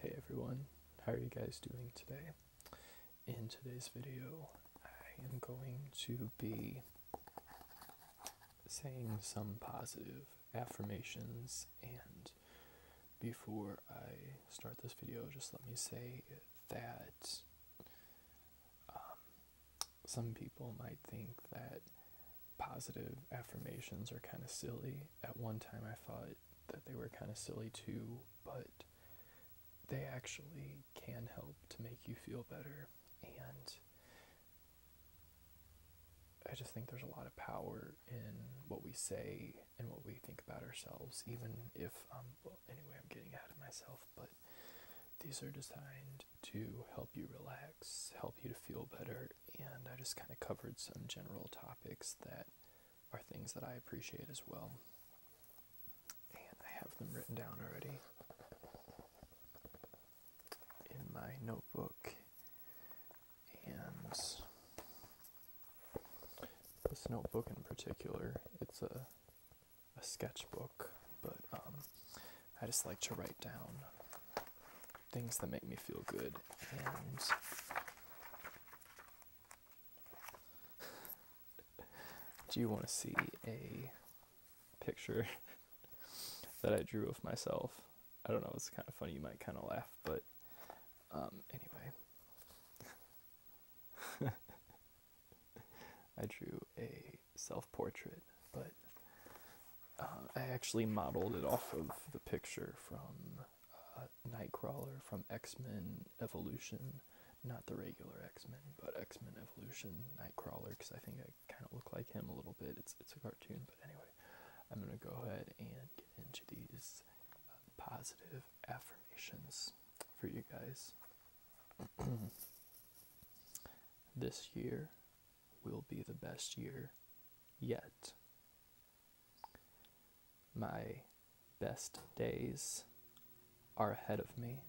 Hey everyone, how are you guys doing today? In today's video, I am going to be saying some positive affirmations and before I start this video, just let me say that um, some people might think that positive affirmations are kind of silly. At one time, I thought that they were kind of silly too, but they actually can help to make you feel better and I just think there's a lot of power in what we say and what we think about ourselves, even if, um, well, anyway, I'm getting ahead of myself, but these are designed to help you relax, help you to feel better, and I just kind of covered some general topics that are things that I appreciate as well. And I have them written down already in my notebook. And this notebook in particular, it's a, a sketchbook, but um, I just like to write down things that make me feel good. And do you want to see a picture that I drew of myself? I don't know, it's kind of funny, you might kind of laugh, but um, anyway. I drew a self portrait, but uh, I actually modeled it off of the picture from uh, Nightcrawler from X Men Evolution, not the regular X Men, but X Men Evolution Nightcrawler, because I think I kind of look like him a little bit. It's it's a cartoon, but anyway, I'm gonna go ahead and get into these uh, positive affirmations for you guys. this year will be the best year yet. My best days are ahead of me.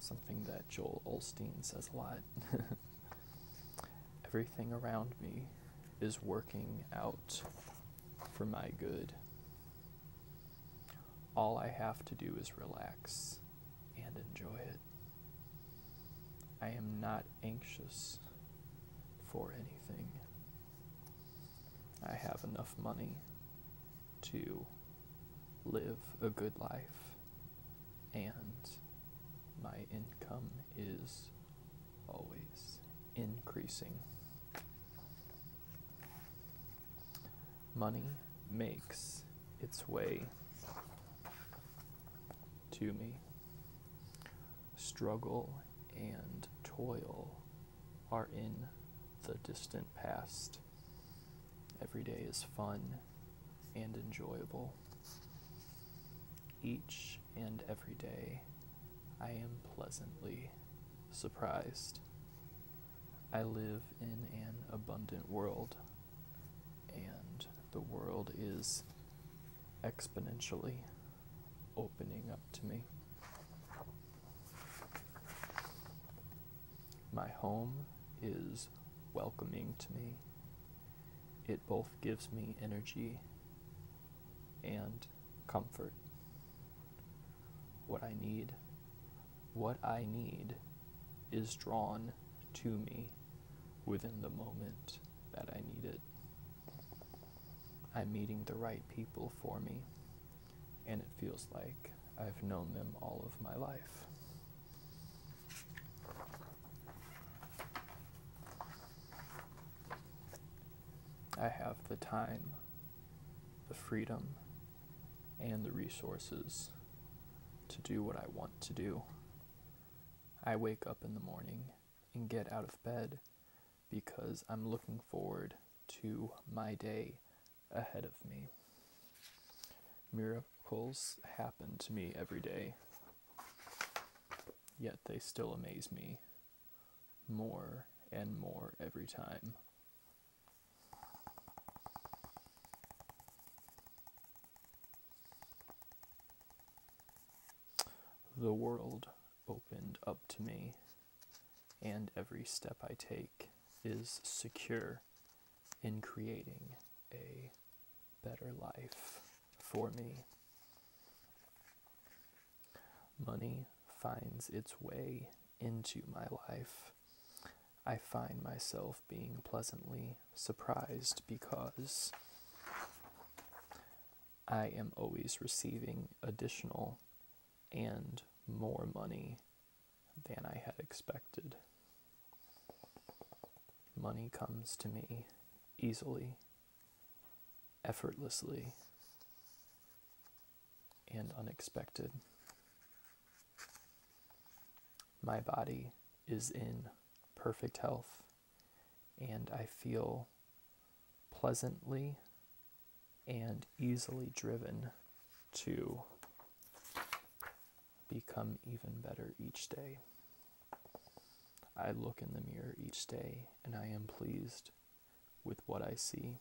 Something that Joel Olstein says a lot. Everything around me is working out for my good. All I have to do is relax and enjoy it. I am not anxious for anything. I have enough money to live a good life, and my income is always increasing. Money makes its way to me struggle and toil are in the distant past. Every day is fun and enjoyable. Each and every day, I am pleasantly surprised. I live in an abundant world, and the world is exponentially opening up to me. My home is welcoming to me. It both gives me energy and comfort. What I need, what I need is drawn to me within the moment that I needed. I'm meeting the right people for me, and it feels like I've known them all of my life. I have the time, the freedom, and the resources to do what I want to do. I wake up in the morning and get out of bed because I'm looking forward to my day ahead of me. Miracles happen to me every day, yet they still amaze me more and more every time. The world opened up to me, and every step I take is secure in creating a better life for me. Money finds its way into my life. I find myself being pleasantly surprised because I am always receiving additional and more money than I had expected. Money comes to me easily, effortlessly, and unexpected. My body is in perfect health and I feel pleasantly and easily driven to become even better each day. I look in the mirror each day and I am pleased with what I see.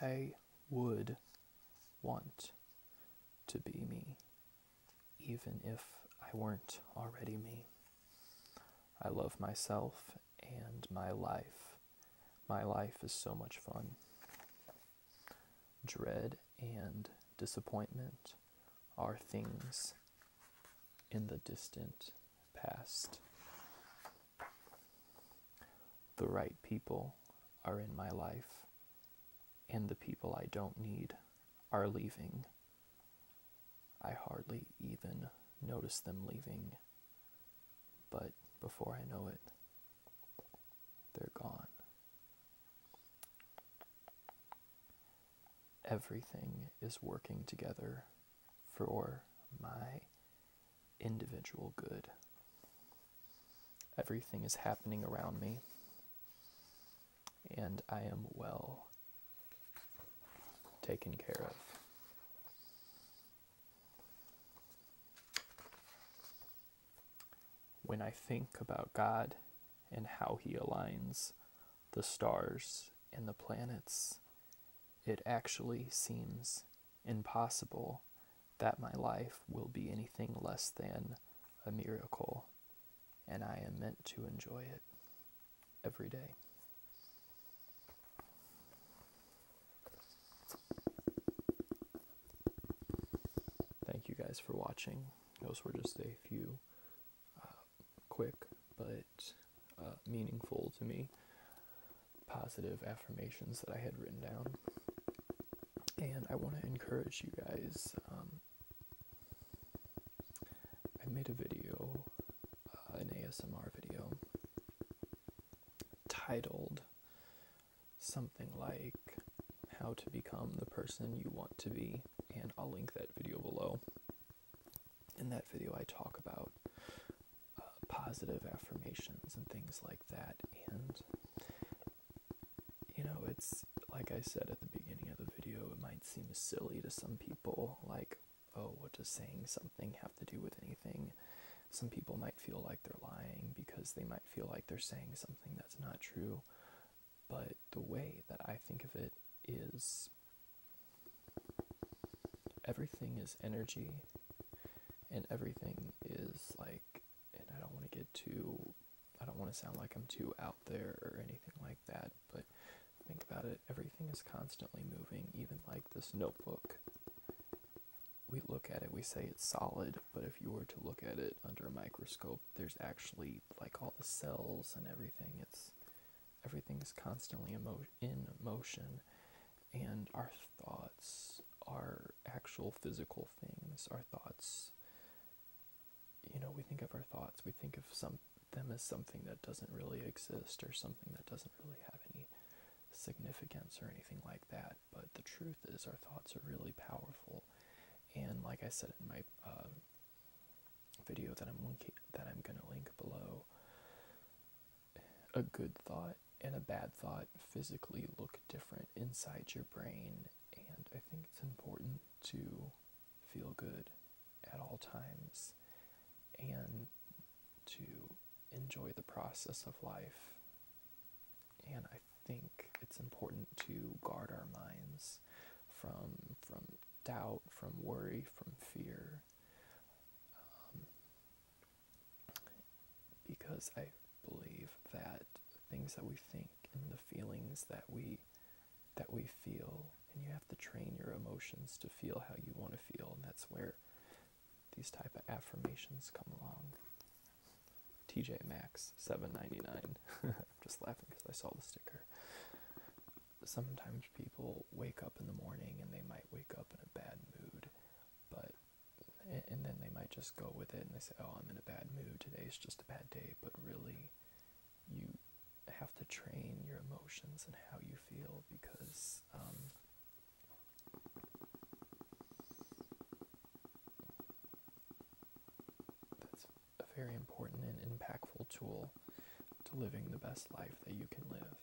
I would want to be me even if I weren't already me. I love myself and my life. My life is so much fun. Dread and disappointment are things in the distant past. The right people are in my life and the people I don't need are leaving. I hardly even notice them leaving, but before I know it, they're gone. Everything is working together for my individual good. Everything is happening around me, and I am well taken care of. When I think about God and how He aligns the stars and the planets, it actually seems impossible that my life will be anything less than a miracle and I am meant to enjoy it every day. Thank you guys for watching. Those were just a few uh, quick but uh, meaningful to me positive affirmations that I had written down. And I want to encourage you guys um, I made a video, uh, an ASMR video, titled something like How to Become the Person You Want to Be, and I'll link that video below. In that video, I talk about uh, positive affirmations and things like that, and you know, it's like I said at the beginning of the video, it might seem silly to some people, like, oh, what does saying something have to do with anything? Some people might feel like they're lying because they might feel like they're saying something that's not true. But the way that I think of it is everything is energy and everything is like and I don't want to get too I don't want to sound like I'm too out there or anything like that, but think about it. Everything is constantly moving, even like this notebook. We look at it, we say it's solid, but if you were to look at it under a microscope, there's actually like all the cells and everything. It's everything is constantly emo- in motion, and our thoughts are actual physical things. Our thoughts you know, we think of our thoughts, we think of some them as something that doesn't really exist or something that doesn't really have any significance or anything like that. But the truth is, our thoughts are really powerful, and like I said in my uh, video that I'm linking, that I'm gonna link below, a good thought and a bad thought physically look different inside your brain, and I think it's important to feel good at all times and to enjoy the process of life. And I think it's important to guard our minds from from doubt, from worry, from fear. Um, because I believe that things that we think and the feelings that we that we feel, and you have to train your emotions to feel how you want to feel, and that's where these type of affirmations come along. TJ Maxx, seven just laughing because I saw the sticker. Sometimes people wake up in the morning and they might wake up in a bad mood, but and, and then they might just go with it and they say, "Oh, I'm in a bad mood. Today's just a bad day." But really, you have to train your emotions and how you feel because um, that's a very important and impactful tool to living the best life that you can live.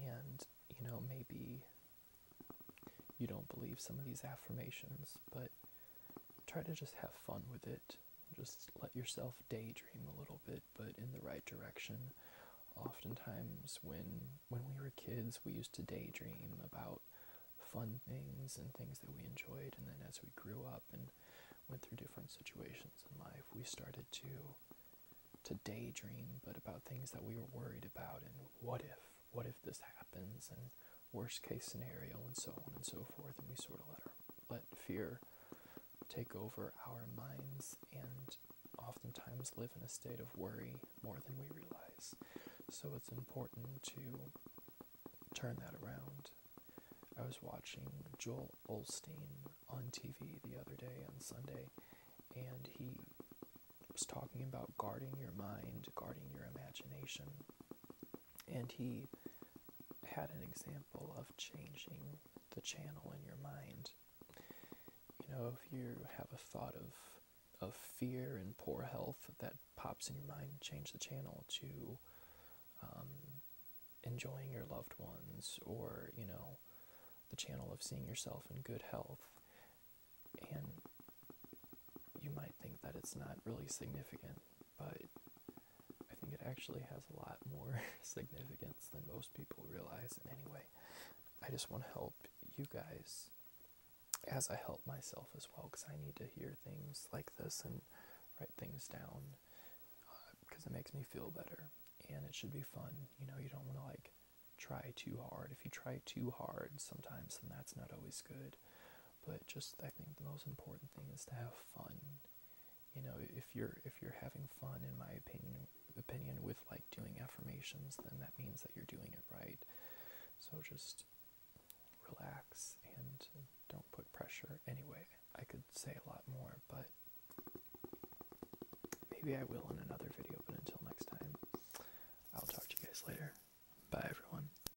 And, you know, maybe you don't believe some of these affirmations, but try to just have fun with it. Just let yourself daydream a little bit, but in the right direction. Oftentimes, when when we were kids, we used to daydream about fun things and things that we enjoyed, and then as we grew up and went through different situations in life, we started to to daydream, but about things that we were worried about, and what if, what if this happens, and worst case scenario, and so on and so forth. And we sort of let, our, let fear take over our minds and oftentimes live in a state of worry more than we realize. So it's important to turn that around. I was watching Joel Olstein on TV the other day on Sunday, and he was talking about guarding your mind, guarding your imagination, and he had an example of changing the channel in your mind. You know, if you have a thought of of fear and poor health that pops in your mind, change the channel to um, enjoying your loved ones, or you know, the channel of seeing yourself in good health. And you might think that it's not really significant, but I think it actually has a lot more significance than most people realize. In any way, I just want to help you guys as I help myself as well, because I need to hear things like this and write things down because uh, it makes me feel better and it should be fun. You know, you don't want to like try too hard. If you try too hard sometimes, then that's not always good. But just I think the most important thing is to have fun. You know, if you're if you're having fun, in my opinion, opinion with like doing affirmations, then that means that you're doing it right. So just relax and don't put pressure. Anyway, I could say a lot more, but maybe I will in another video. But until next time, I'll talk to you guys later. Bye, everyone.